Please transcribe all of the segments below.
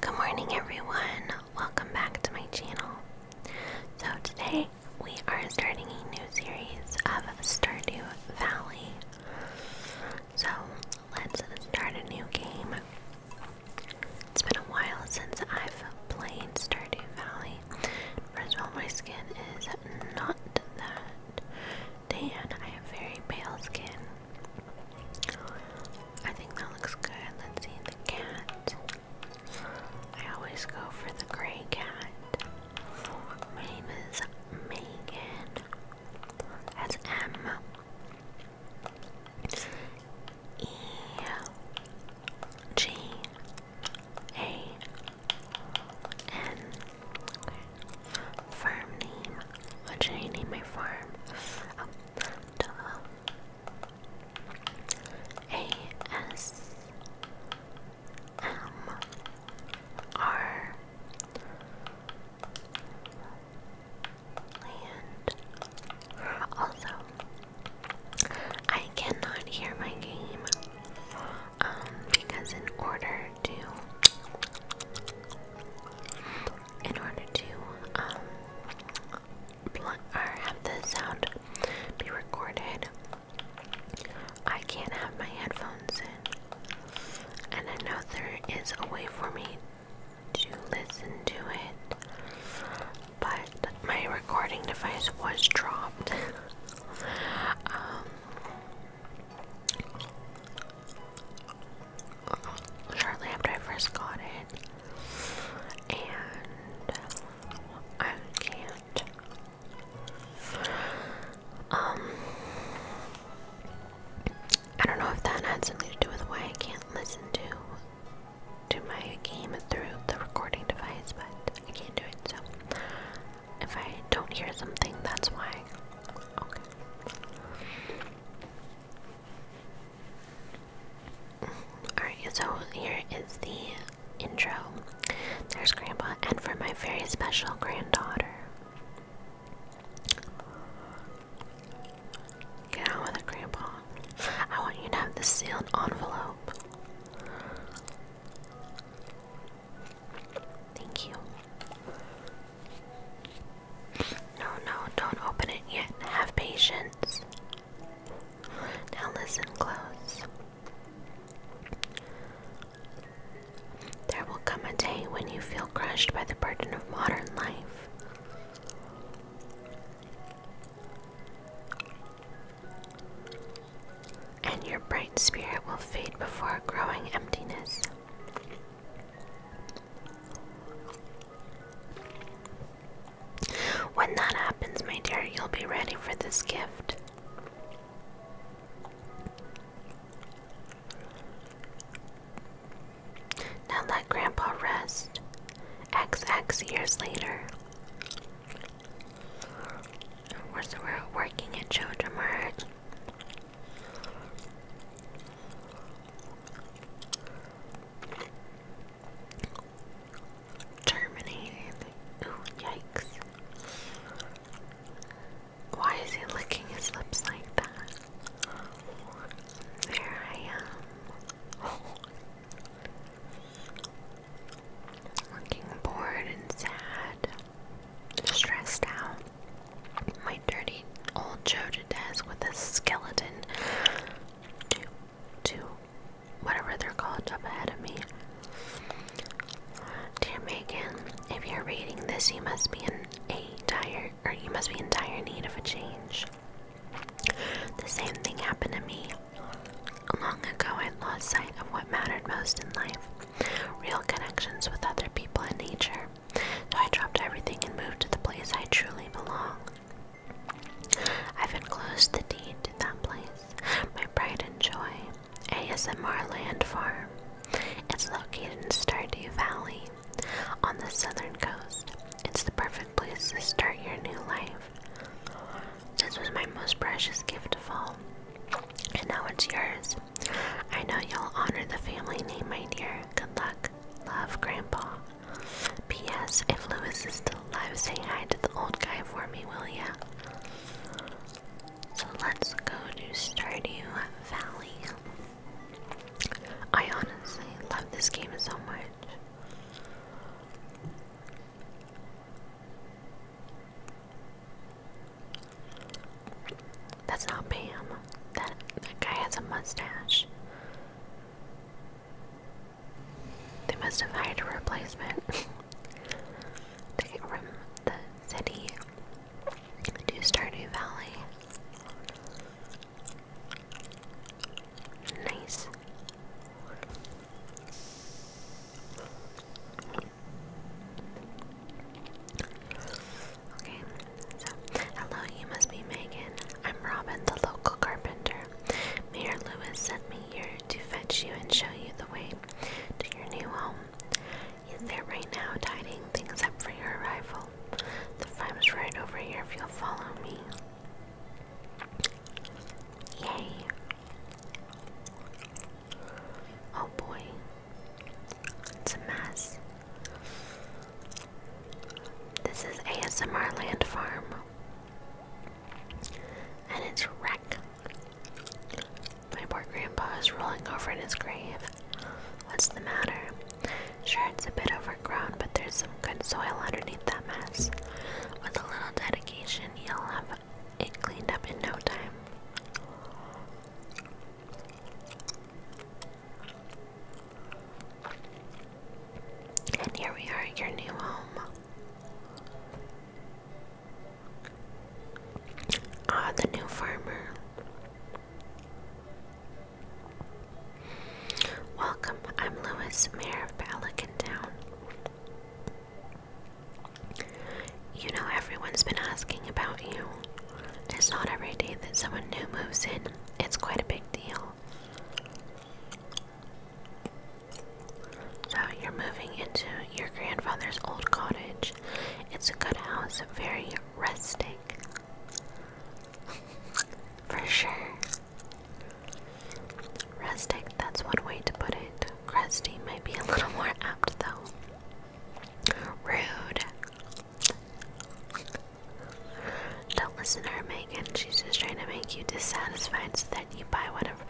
Good morning everyone, welcome back to my channel. So today we are starting a new series of Stardew Valley. So let's start a new game. It's been a while since I've played Stardew Valley. First of all, my skin is not that tan. I have very pale skin. I think that looks good. Let's see the cat. I always go for the gray cat. My name is Megan. That's M E G A N. Farm name. What should I name my farm? Oh, and A S M R Land. Also, I cannot hear my game um, because in order to in order to um or have the sound be recorded. I can't have my headphones in, and I know there is a way for me to listen to it, but my recording device was dropped. Um, shortly after I first got it, and I can't. Um, I don't know if that had something to do with why I can't listen to to my game through the recording device, but I can't do it. So if I don't hear something, that's why. Okay. Alright, so here is the intro. There's Grandpa, and for my very special granddaughter. Get with it, Grandpa. I want you to have the sealed envelope. Thank you. No, no, don't open it yet. Have patience. Now listen close. There will come a day when you feel crushed by the burden of modern life. And your bright spirit will fade before a growing emptiness. When that happens, my dear, you'll be ready for this gift. Now let Grandpa rest. XX years later. We're, so working at Children Mart. Terminated. Ooh, yikes. Why is he licking his lips like that? There I am. Looking bored and sad, stressed out. My dirty old Joe desk with a skeleton to whatever they're called up ahead of me. Dear Megan, if you're reading this, you must be in a dire, or you must be in dire need of a change. The same thing happened to me. Long ago, I lost sight of what mattered most in life real connections with other people and nature. So I dropped everything and moved to the place I truly belong I've enclosed the deed to that place, my pride and joy, ASMR Land Farm. It's located in Stardew Valley on the southern coast. It's the perfect place to start your new life. This was my most precious gift of all, and now it's yours. I know you'll honor the family name, my dear. Good luck. Love, Grandpa. P.S. If Lewis is still alive, say hi to the old guy for me, will ya? So let's go to Stardew Valley. I honestly love this game so much. That's not Pam. That that guy has a mustache. They must have hired a replacement to get from the city to Stardew Valley. Nice. Okay, hello, you must be Megan. I'm Robin, the local carpenter mayor. Lewis sent me here to fetch you and show you the way to your new home. He's there right now, tidying things up for your arrival. The farm's right over here if you'll follow me. Yay! Oh boy, it's a mess. This is ASMR Land Farm. And it's wrecked. My poor grandpa is rolling over in his grave. What's the matter? Sure, it's a bit overgrown, but there's some good soil underneath that mess. With a little dedication, you'll have it cleaned up in no time. And here we are at your new home. Ah, the new farmer. Welcome, I'm Louis, Mayor of Pelican You know, everyone's been asking about you. It's not every day that someone new moves in, it's quite a big deal. So you're moving into your grandfather's old cottage. It's a good house, very rustic. For sure. Rustic, that's one way to put it. Crusty might be a little more apt though. Rude. Don't listen to her, Megan. She's just trying to make you dissatisfied so that you buy one of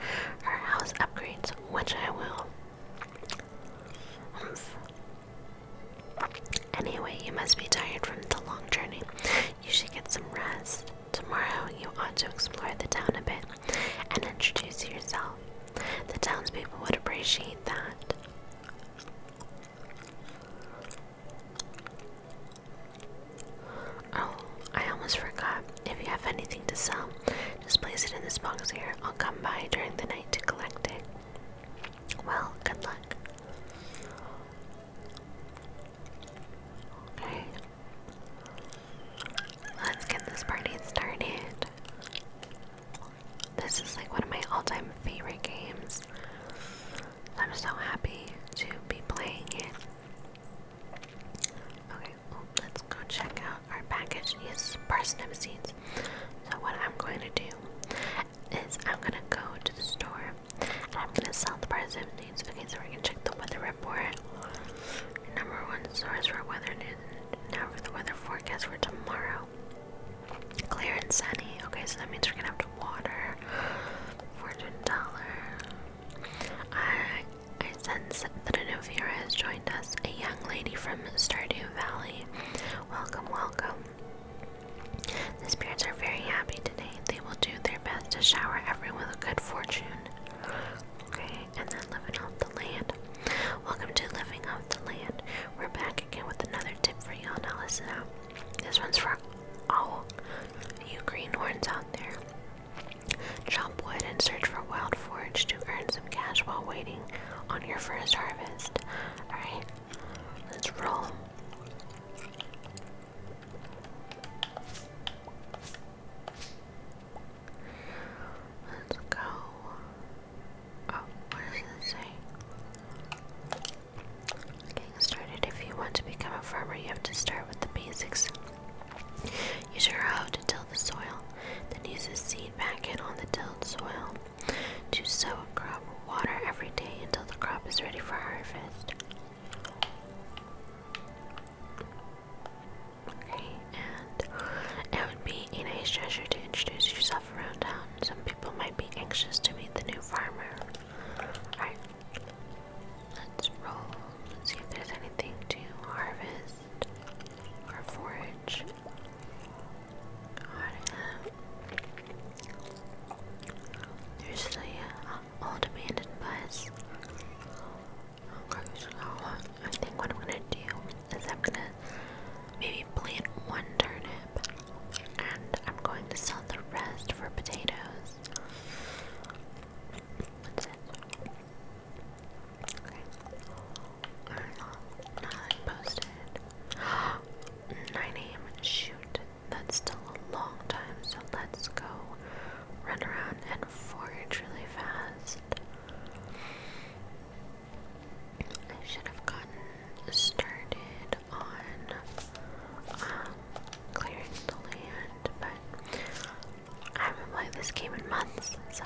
her house upgrades, which I will. Anyway, you must be tired from the long journey. You should get some rest. Tomorrow, you ought to explore the town a bit and introduce yourself. The townspeople would appreciate that. Oh, I almost forgot. If you have anything to sell, just place it in this box here. I'll come by during the night to collect it. Well, good luck. Okay. Let's get this party started. This is like one of my all time favorite games. I'm so happy to be playing it. Okay, well, let's go check out our package. These parsnip seeds. So what I'm going to do is I'm going to go to the store and I'm going to sell the parsnip seeds. Okay, so we're check the weather report. Number one source for weather news. Now for the weather forecast for tomorrow. Clear and sunny. Okay, so that means we're going to have to water. $14. I, sense that a new viewer has joined us, a young lady from Stardew Valley. Welcome, welcome. The spirits are very happy today. They will do their best to shower everyone with good fortune. Okay, and then living off the land. Welcome to Living Off the Land. We're back again with another tip for you on Alyssa. This one's for all you greenhorns out there. Chop wood and search for wild forage to earn some cash while waiting on your first harvest. Alright, let's roll. Let's go. Oh, what does it say? Getting started. If you want to become a farmer, you have to start with the basics. Use your hoe to till the soil, then use a seed packet on the tilled soil to sow a crop. Water every day until the crop is ready for harvest. Okay, and it would be a nice gesture to introduce yourself around town. Some people might be anxious to meet the new farmer. Alright. Let's roll, see if there's anything to harvest or forage. Um, there's the uh, old abandoned bus. I think what I'm gonna do is I'm gonna maybe plant one turnip and I'm going to sell the rest for potatoes. Okay. Or not. Not posted. 9 a.m. Shoot. That's still a long time, so let's go run around and forage really fast. I should have gotten started on um, clearing the land, but I haven't played this game in months, so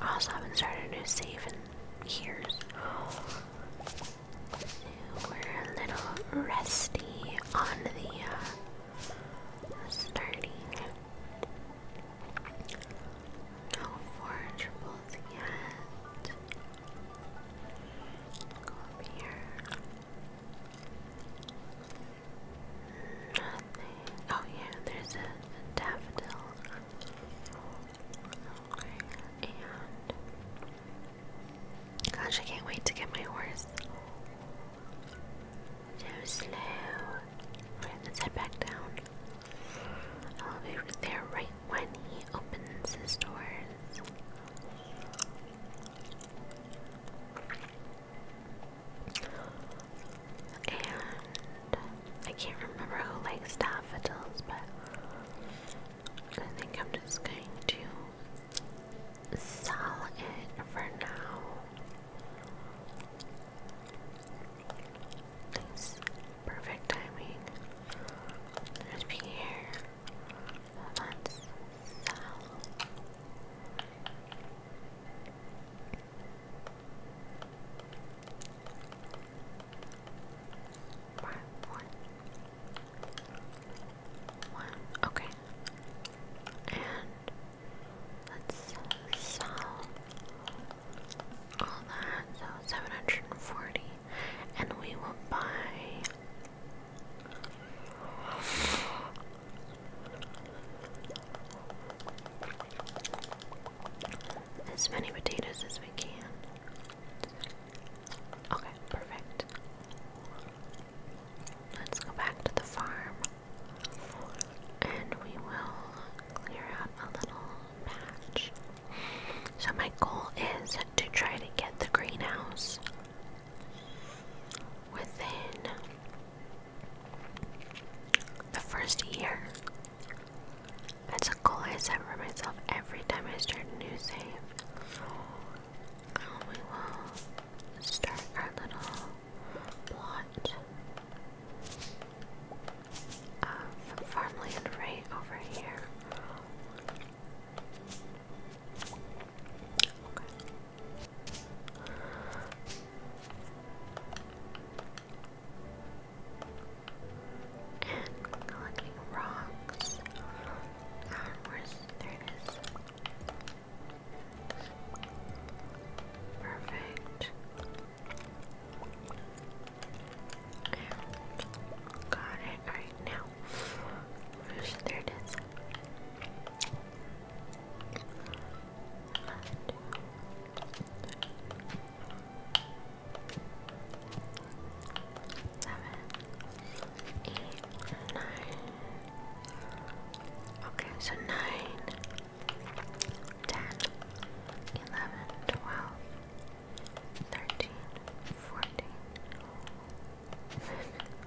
I also haven't started a new save in years. So we're a little rusty on the uh, starting. No forge bolts yet. Go up here. Oh yeah, there's a, daffodil. Okay. gosh, I can't wait to get my horse. So slow. let's head back down. I'll be there right when he opens his doors. And I can't remember who likes daffodils, but I think I'm just going to sell it for now. perfect timing. There's be here. Let's sell. One, one, one. Okay, and let's sell all that. So seven hundred and forty, and we will buy as many potatoes as we can. Okay, perfect. Let's go back to the farm and we will clear out a little patch. So, my goal is to try to get the greenhouse within the first year. That's a goal I set for myself every time I start a new save. we will start our little plot of farmland right over here collecting rocks. there it is? Perfect. got it right now. there it is? eight, nine. Okay, so nine, ten, eleven, twelve, thirteen, fourteen, fifteen.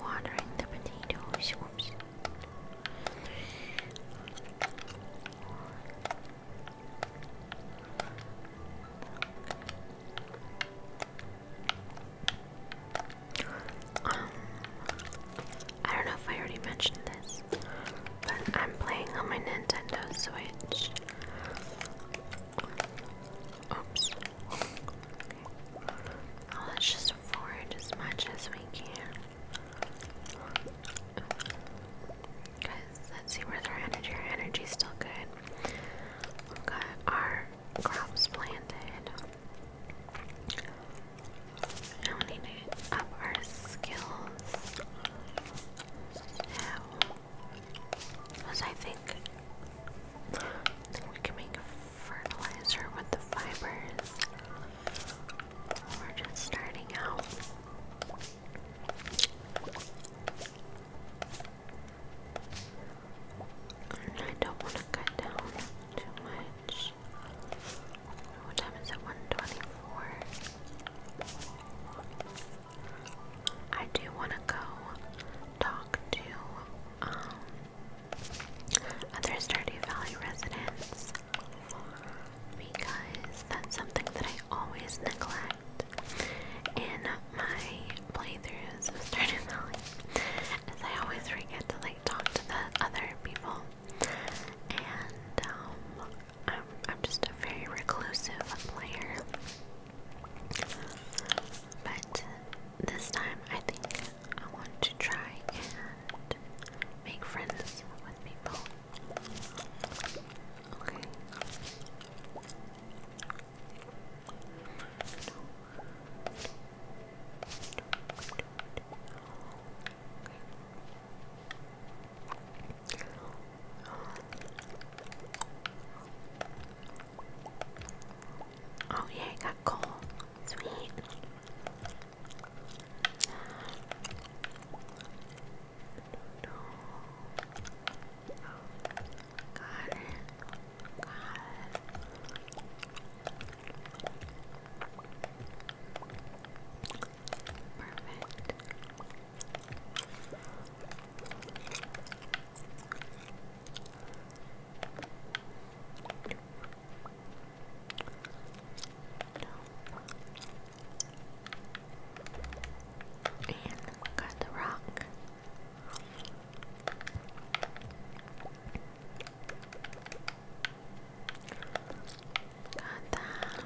Watering the potato. Whoops. Um, I don't know if I already mentioned this, but I'm playing on my Nintendo Switch. Oops. let's just forage as much as we can. Guys, let's see where's our energy. energy's still good. got our crops planted. Now we need to up our skills. Because I think, we can make fertilizer with the fibers. We're just starting out. I don't want to cut down too much. What time is it? 124. I do want to go talk to um, other Stardew Valley residents because that's something that I always neglect in my playthroughs of Stardew Valley as I always forget to like talk to the other people and um, I'm just a very reclusive player but this time I think I want to try and make friends with people. Okay. Oh yeah, got coal. Sweet. Got it. Got it. Perfect. And got the rock. Got that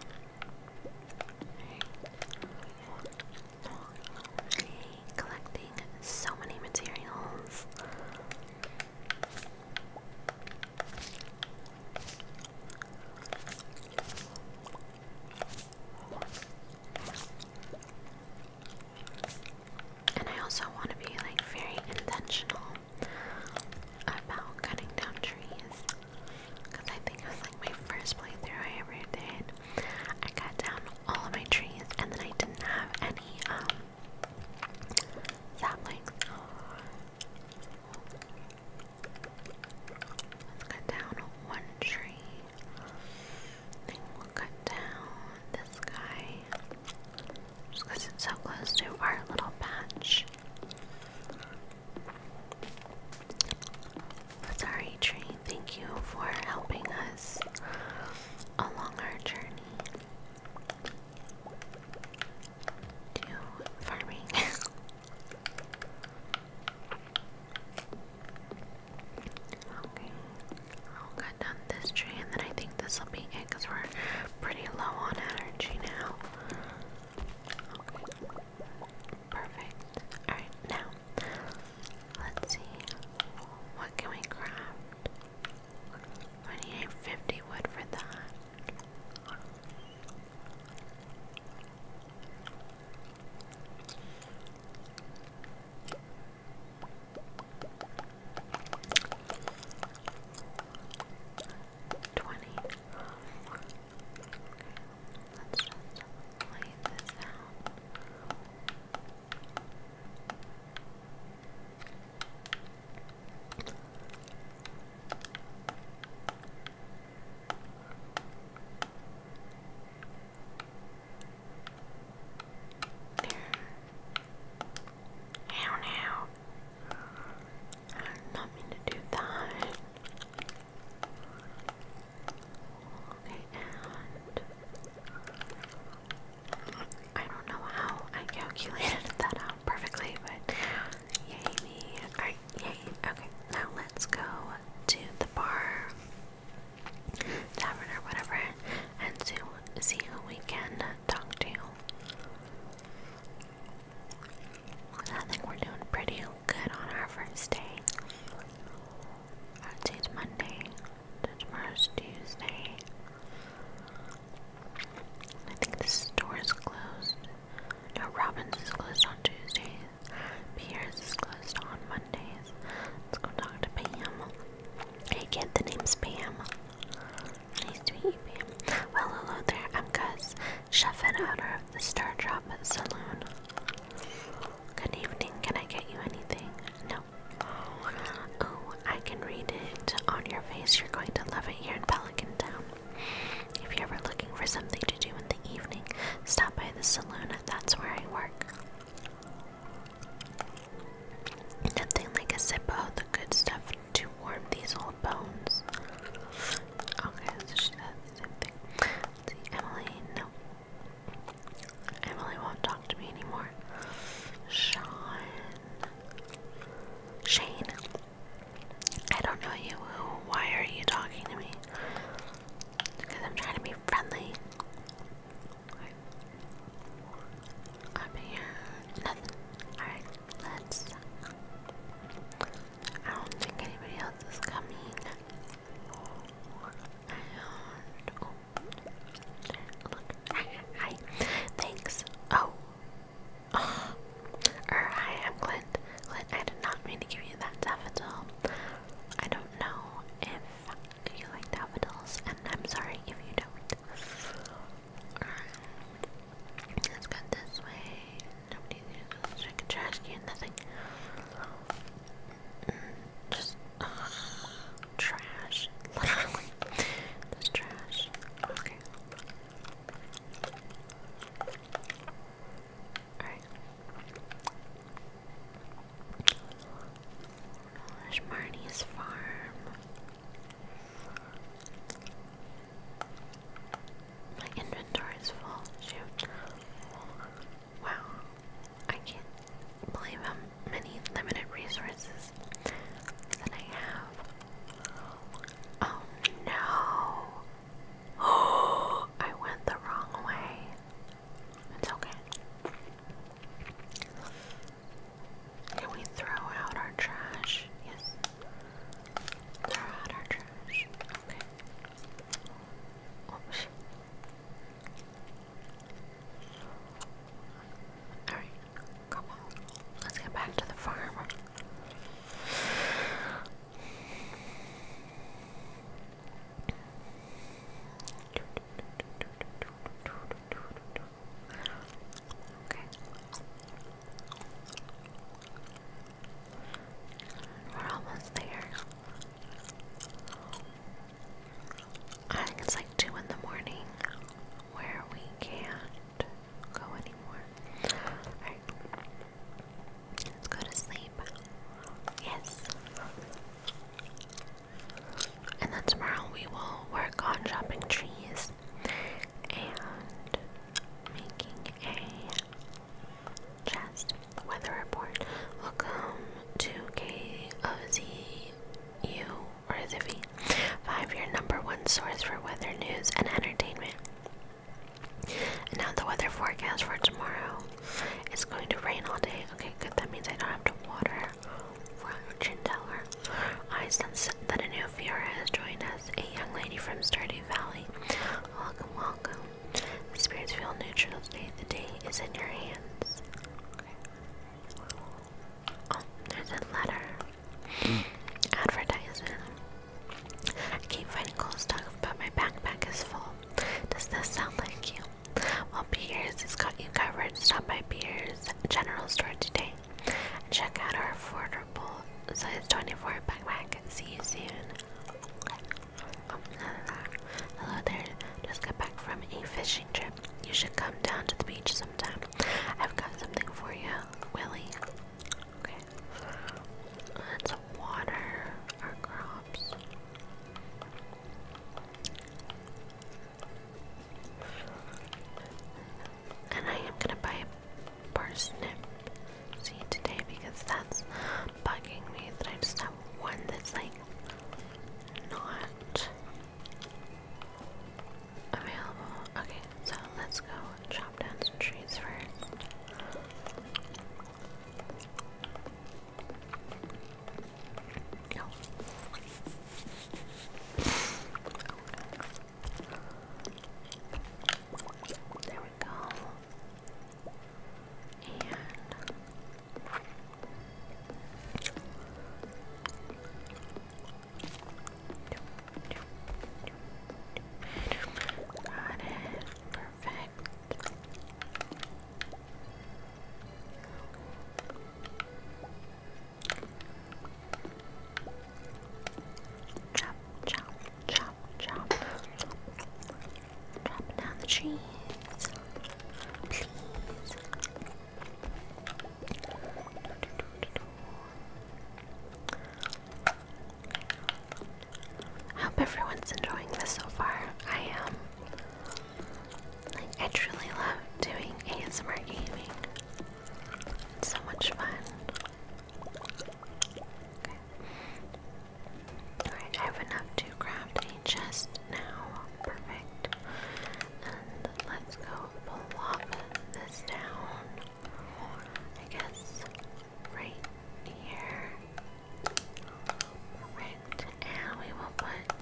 collecting so many materials. And I also want to be like very intentional about cutting down trees because I think like my first playthrough I ever did. I cut down all of my trees, and then I didn't have any um, saplings. Let's cut down one tree. Then we cut down this guy. Just it's so close to our little patch. What's our tree? Thank you for helping us along our journey to farming. okay, I'll cut down this tree, and then I think this will be it because we're pretty low on energy now. perfect. Alright, now Let's see. What can we craft? We need 50 wood for that. Twenty. Let's just lay this out. Now, now, I did not mean to do that. Okay, I don't know how I calculated that out perfectly, but yay Alright, yay. Okay, now let's go to the bar, tavern, or whatever, and to see who we can talk to. I think we're doing pretty good on our first day. Or today's Monday. tomorrow's Tuesday. I think the store is closed. No, Robbins is closed on Tuesdays. Pierce is closed on Mondays. Let's go talk to Pam. Hey the name's Pam. Nice to meet you, Pam. Well, hello there. I'm Gus, chef and owner of the Star Drop Saloon. Good evening. Can I get you anything? No know. Oh, I can read it on your face. You're going to love it here in Pelican Town. If you're ever looking for something to do in the evening, stop by the saloon. That's where I work. Nothing like a sip of the good stuff to warm these old bones. Okay, so she Emily, no. Emily won't talk to me anymore. Sean. Shane. I don't know you. Why are you talking to me? Because I'm trying to be friendly. I'm here. Nothing. Alright, let's. I don't think anybody else is coming hi, Thanks. Oh. oh. hi, I'm Clint. Clint, I did not mean to give you that daffodil. I don't know if you like daffodils, and I'm sorry if you don't. Let's go this way. Nobody's gonna check trash can, nothing. Just trash. Literally. That's trash. Okay. Alright. Gosh, farm. My inventory is full. Wow. I can't believe how many limited resources that I have. Oh no! Oh, I went the wrong way. It's okay. Can we throw out our trash? Yes. Throw out our trash. Okay. Oops. Alright, come on. Let's get back to the farm. Okay. We're almost there. I uh, think it's like 2 in the morning where we can't go anymore. Alright. Let's go to sleep. Yes. And then tomorrow we will work on chopping trees and making a chest weather report. Welcome to KOZU or it Five, your number one source for weather news and entertainment. now the weather forecast for tomorrow. It's going to rain all day. Okay, good. That means I don't have to water. Fortune teller. I sense that a new Fiora has joined us, a young lady from Stardew Valley. Welcome, welcome. The spirits feel neutral today. The day is in your hands. Okay. Oh, there's a letter. Mm. Advertisement. I keep finding cool stuff, but my backpack is full. Does this sound like you? Well, Beers has got you covered. Stop by Beers General Store today check out our affordable size 24 backpack. See you soon. hello there. Just got back from a fishing trip. You should come down to the beach sometime. I've got something for you, Willie. Okay. let water our crops. And I am gonna buy a parsnip seed today because that's bugging me that I just have one that's like not available. Okay, so let's go chop down some trees first. There we go. And Got it. Perfect. Chop, chop, chop, chop. Drop down the trees. Please. I hope everyone's enjoying this so far. I am. Um, like, I truly love doing ASMR gaming. It's so much fun. Alright, I have enough to craft a chest now perfect. And let's go plop this down, I guess, right here. Perfect. And we will put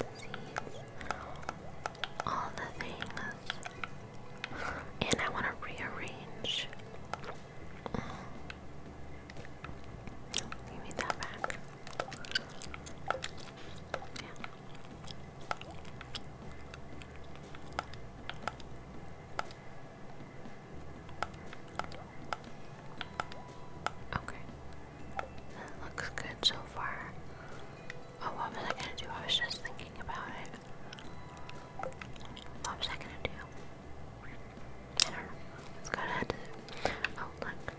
all the things. And I want to rearrange. Give me that back. Yeah. Okay. looks good so far. Oh, what was I gonna do? I was just thinking about it. What was I gonna do? I don't know. Let's go ahead. Oh, look.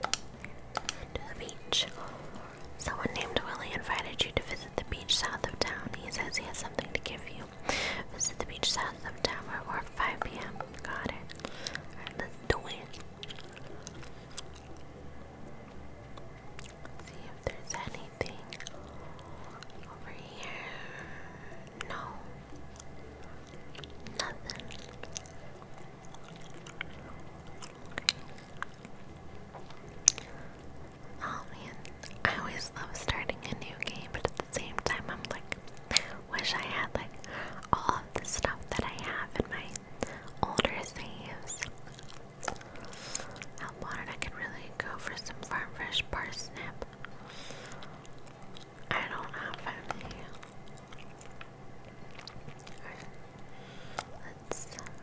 To the beach. Someone named Willie invited you to visit the beach south of town. He says he has something to give you. Visit the beach south of town before 5 p.m. Got it. let's do it. see if there's anything over here. No. Nothing. Oh, I always love starting a new game, but at the same time, I'm like, wish I had like all of the stuff that I have in my older saves. I wanted I could really go for some farm fresh parsnip. I don't have any. Let's um,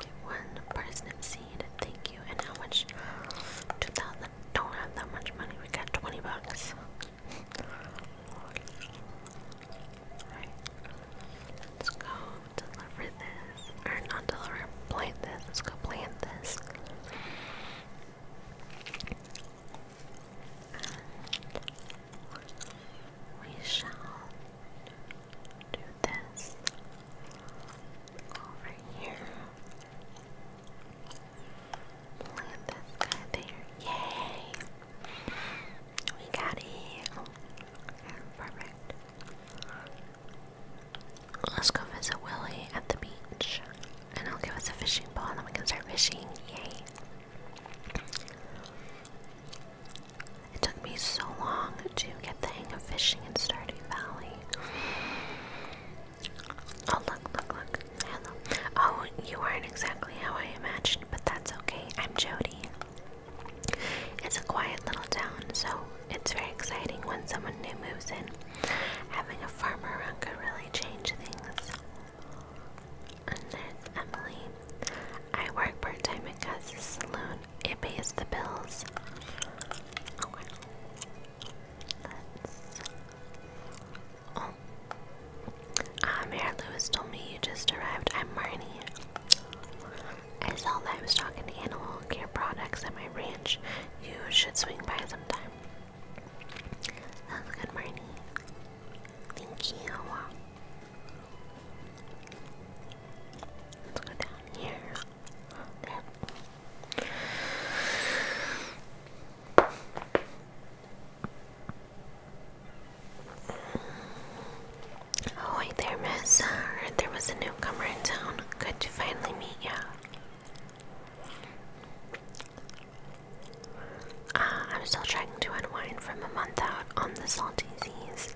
get one parsnip seed. Thank you. And how much? 2,000. Don't have that much money. We got 20 bucks. Alright. Let's go deliver this. Or not deliver, plant this. Let's go plant this. And we shall do this over here. Look this guy there. Yay! We got it. Perfect. Let's go visit Willie at the beach. And I'll give us a fishing pole and then we can start fishing. Yay. It took me so long to get the hang of fishing in Stardew Valley. Oh, look, look, look. Hello. Oh, you aren't exactly how I imagined, but that's okay. I'm Jody. It's a quiet little town, so it's very exciting when someone new moves in. Having a farmer around could really change things and there's Emily. I work part time at Gus's Saloon. It pays the bills. Oh. Ah, Mayor Lewis told me you just arrived. I'm Marnie. I sell livestock and animal care products at my ranch. You should swing by sometime. Sounds good, Marnie. Thank you. Let's go down here. Oh, hi there, miss. Uh, there was a newcomer in town. Good to finally meet ya. Uh, I'm still trying to unwind from a month out on the salty seas.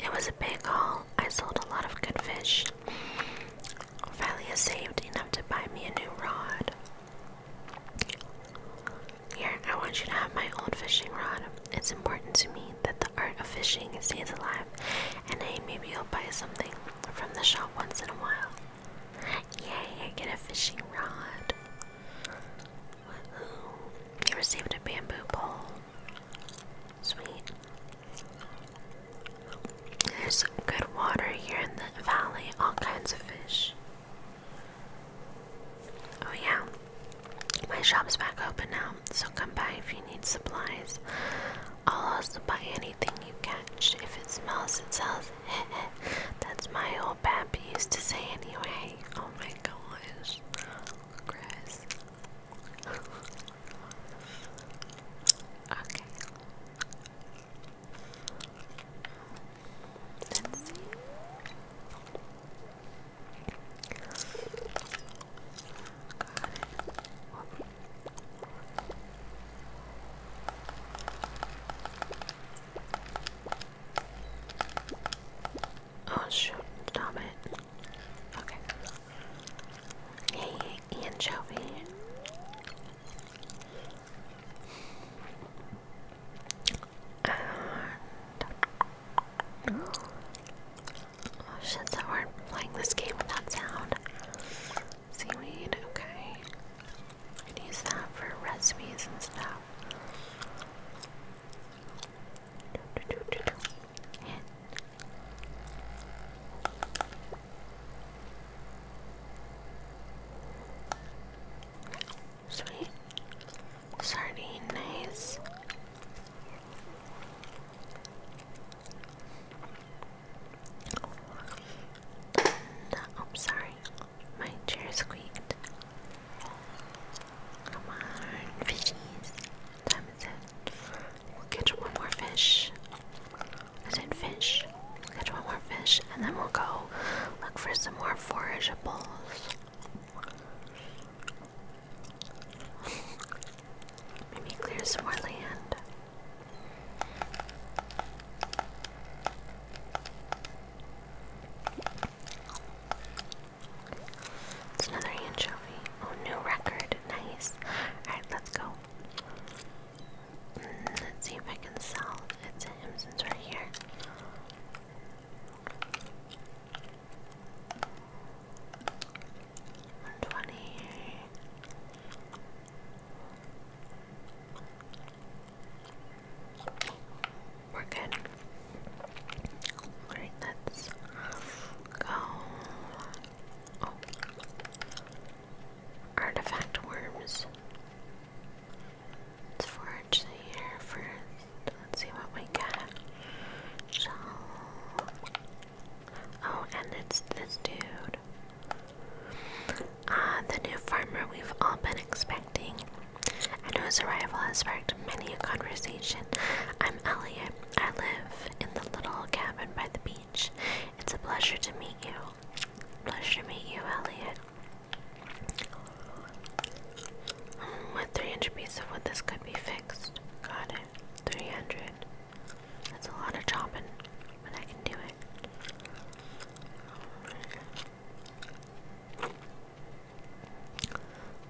It was a big haul. I sold a lot of good fish. Ophelia saved enough to buy me a new rod. Here, I want you to have my old fishing rod. It's important to me that the art of fishing stays alive, and hey, maybe you'll buy something from the shop once in a while. Yay, I get a fishing rod. You received a bamboo pole. Sweet. There's good water here in the valley, all kinds of fish. Oh, yeah. My shop's back open now, so come by if you need supplies. I'll also buy anything you catch. If it smells, it sells. That's my old pappy used to say anyway. Oh my gosh. Chris. okay. Let's see. Oh shoot, stop it. Okay. Hey, anchovy. Oh shit, so hard playing this game without sound. Seaweed, okay. use that for recipes and stuff. Sweet sardine, nice. oh, sorry, my chair squeaked. Come on, fishies. Time is it. We'll catch one more fish. I said fish. catch one more fish and then we'll go look for some more forageables. Maybe clear some more land. It's another anchovy. Oh, new record. Nice. Alright, let's go. Mm, let's see if I can sell it to him since we here. One twenty we're good. Alright, let's go. Oh. Artifact worms. Let's forage the air first. Let's see what we got. Shall... Oh, and it's this dude. Ah, the new farmer we've all been expecting and his arrival has sparked many a conversation. I'm Elliot. I live in the little cabin by the beach. It's a pleasure to meet you. Pleasure to meet you, Elliot. Hmm, with 300 pieces of wood, this could be fixed. Got it. 300. That's a lot of chopping, but I can do it.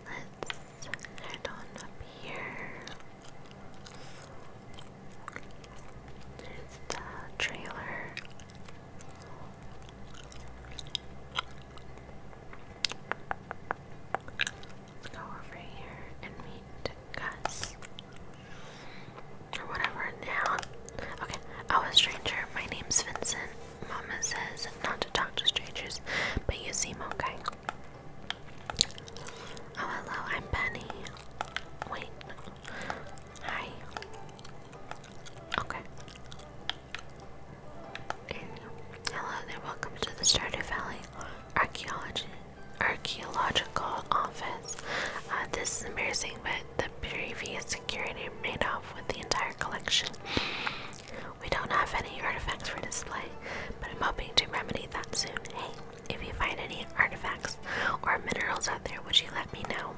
Let's head on up here. There's the trailer. Let's go over here and meet Gus. Or whatever now. Okay. Oh, a stranger. My name's Vincent. Mama says not to talk to strangers, but you seem okay. Oh, hello, I'm Penny. Wait. Hi. Okay. hello there, welcome to the Stardew Valley Archaeological Office. Uh, this is embarrassing, but the previous security made off with the entire collection. We don't have any artifacts for display, but I'm hoping to remedy that soon. Hey, if you find any artifacts or minerals out there, would you let me know?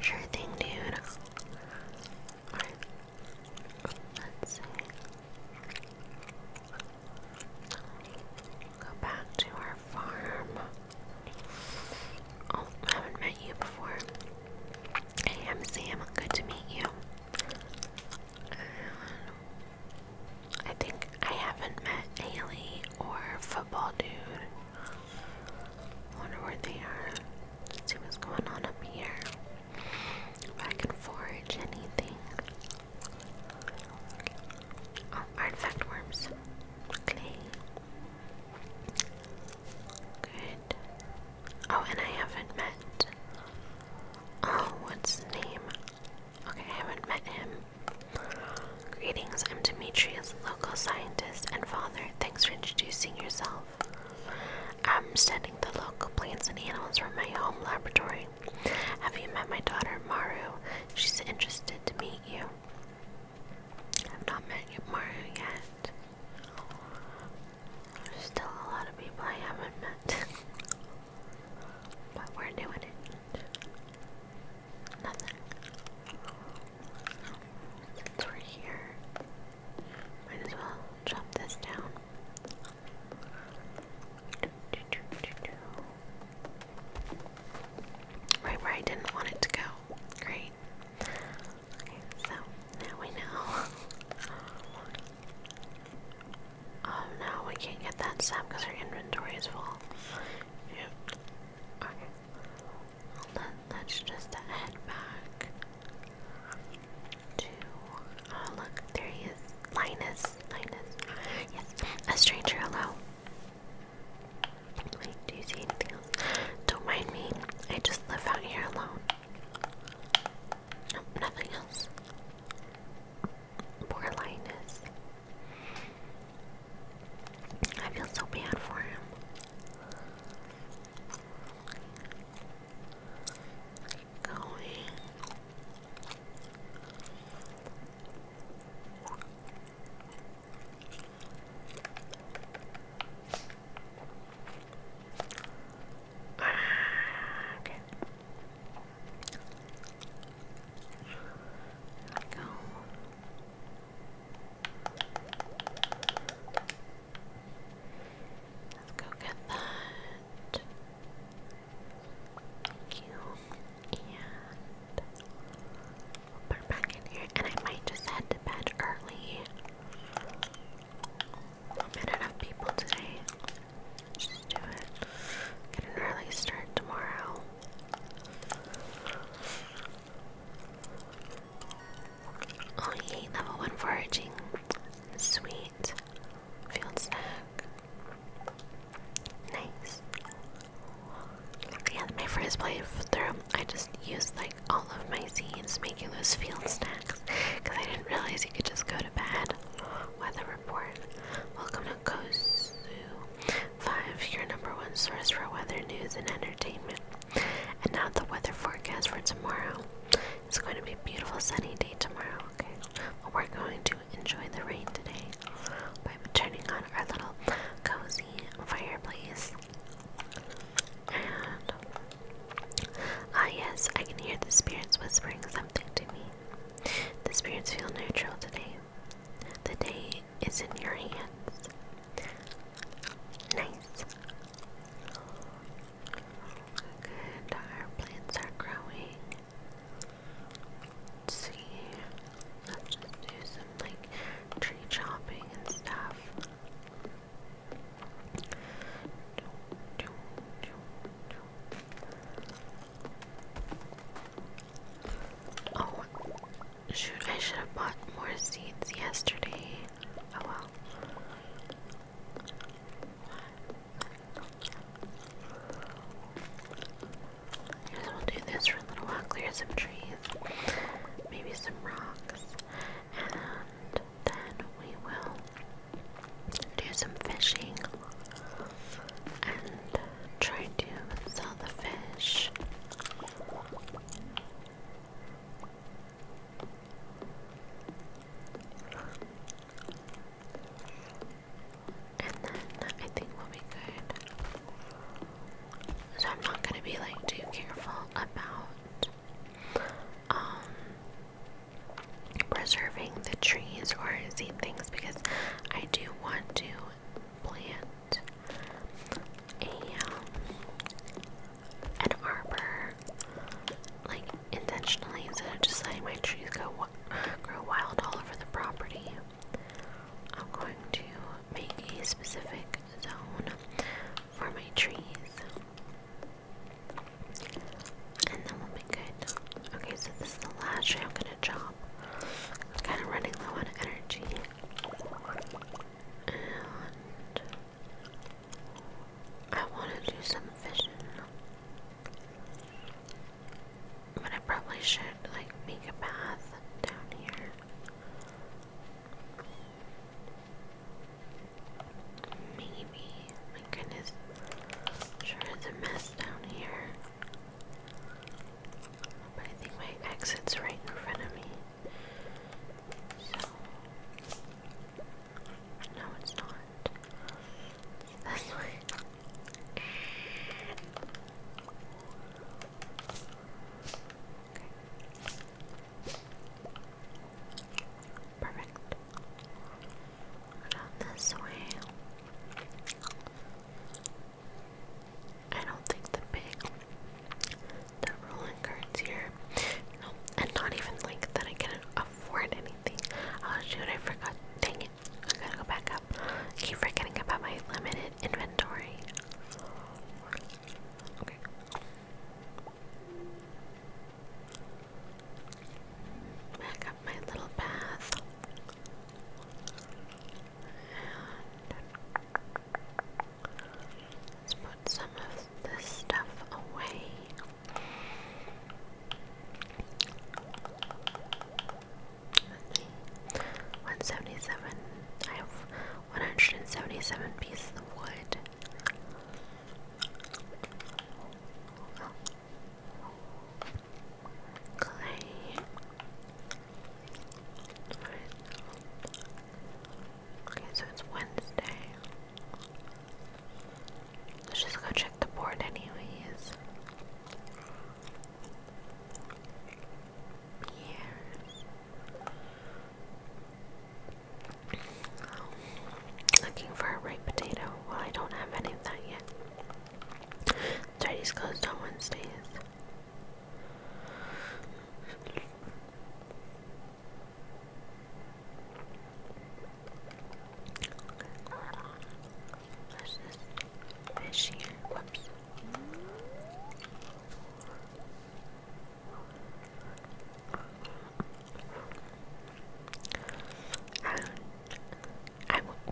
Sure thing, dude. Let's Go back to our farm. Oh, I haven't met you before. Hey, I'm Sam. Good to meet you. Um, I think I haven't met Haley or Football Dude. Wonder where they are. see what's going on up here. I can forage anything. Oh, artifact worms. Okay. Good. Oh, and I haven't met. Oh, what's his name? Okay, I haven't met him. Greetings, I'm Demetrius, local scientist and father. Thanks for introducing yourself. I'm studying the local plants and animals from my home laboratory. Have you met my daughter, Maru? She's interested to meet you. I've not met Maru yet still a lot of people I haven't met. but we're doing it. Nothing. Since we're here, might as well chop this down. Right where I didn't want it to go. Great so now we know. oh no, we can't get that sap because our inventory is full. Shoot. Okay. let's just head back to. Oh, look, there he is. Linus. Linus. Yes. A stranger, hello. Wait, do you see anything else? Don't mind me. I just live out here alone nothing else. Poor Linus. I feel so bad for him. Keep okay. There we go. Let's go get that. Thank you. put it back in here. And I might just head to bed early met enough people today. Just do it. Get an early start tomorrow. Oh level 1 foraging. Sweet. Field snack. Nice. Yeah, my first playthrough, I just used like all of my seeds, making those field snacks, because I didn't realize you could just go to bed. Weather report. Welcome to Kosu 5, your number one source for weather news and entertainment. And now the weather forecast for tomorrow. It's going to be a beautiful sunny day tomorrow, okay? But we're going to enjoy the rain today by turning on our little cozy fireplace. And Ah, yes, I can hear the spirits whispering something to me. The spirits feel neutral today. The day is in your hands. Nice. Good, our plants are growing. see. Let's just do some like tree chopping and stuff. Oh, shoot, I should have bought more seeds yesterday. Oh well. I guess we do this for a little while, clear some trees, maybe some rocks, and then we will do some fishing and try to sell the fish. And then I think we'll be good. So I'm not gonna be like too careful about um preserving the trees or seed things because I do want to plant a um, an arbor like intentionally instead of just letting my trees go grow wild all over the property. I'm going to make a specific zone for my trees. And then we'll be good. Okay, so this is the last tree I'm gonna chop. I'm kind of running low on energy. And I want to do some fishing. But I probably should like make a path down here. Maybe. My goodness. Sure is a mess down here. But I think my exit's right in front of me. So. No, it's not. It's this Perfect. this way. I don't think the big, the rolling cards here. No, and not even like that I can afford anything. Oh shoot, I forgot. Dang it. I gotta go back up. keep forgetting about my limited inventory. Okay. Back up my little path. And let's put some of this stuff away. Let's see. 177. I have 177 pieces of wood. Clay. Okay, so it's Wednesday. Let's just go check the board, anyways. Years. Looking for a ripe potato. Well, I don't have any of that yet. Tidy's closed on Wednesdays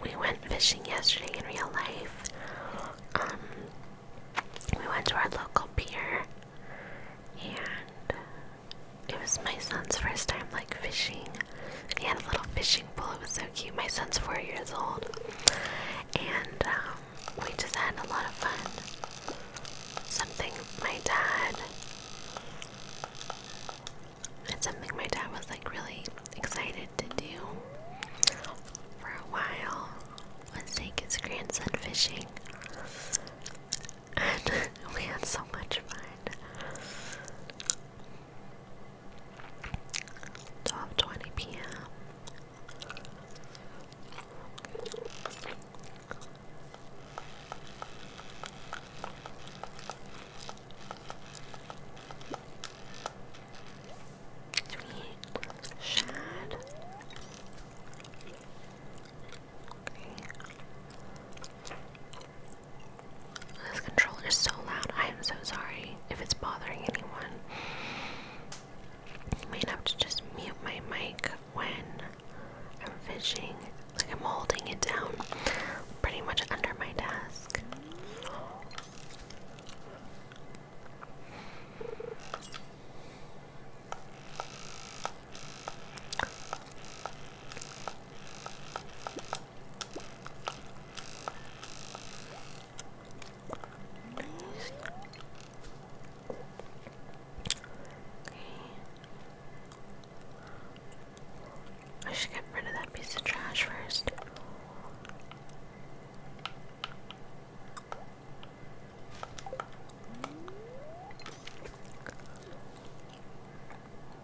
we went fishing yesterday in real life. Um, we went to our local pier, and it was my son's first time like fishing. He had a little fishing pole. It was so cute. My son's four years old, and um, we just had a lot of fun. Something my dad it's something my dad was like really excited to do for a while was take his grandson fishing. And we had so much fun. 12:20 p.m. Sweet shad. This controller is so loud. I am so sorry if it's bothering anyone. I might have to just mute my mic when I'm fishing. Like I'm holding it down pretty much under my desk. Okay. I should get rid of that piece of trash first.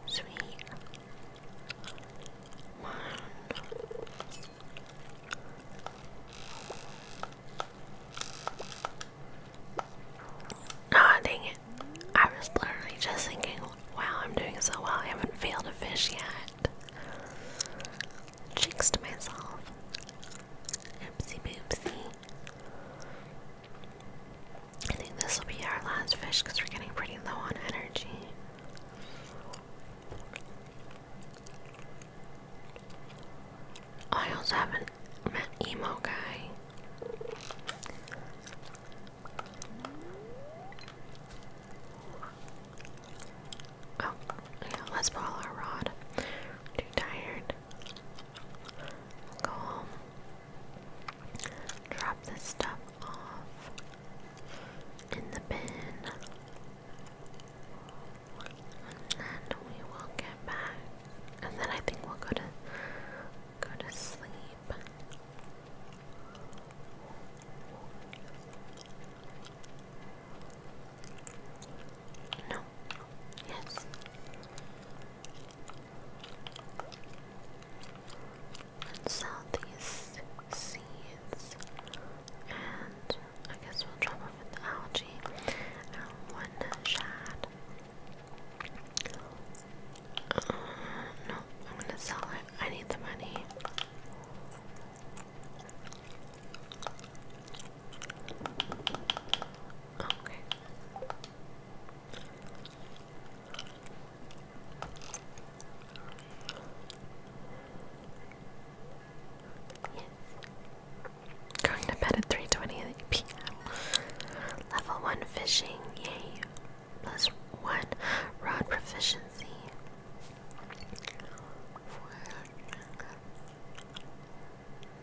Sweet. Ah, dang it. I was literally just thinking Wow, I'm doing so well. I haven't failed a fish yet. Jinx to myself. Oopsie boopsie. I think this will be our last fish because we're getting pretty low on energy. I also haven't met Emo Guy. Oh, yeah, let's pull our rod. too tired. go home. Drop this stuff off in the bin. And then we will get back. And then I think we'll go to go to sleep. No. Yes. And sell And I guess we'll drop off the algae and one shad. Uh, no, I'm gonna sell it. I need the money. Okay. Yes. Going to bed at 3:20 p.m. Level 1 fishing, yay plus one rod proficiency.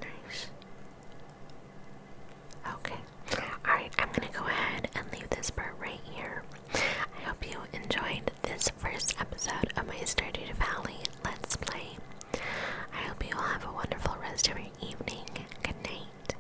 Nice. Okay. Alright, I'm gonna go ahead and leave this part right here. I hope you enjoyed this first episode of my Stardew Valley Let's Play. I hope you all have a wonderful rest of your evening. Good night.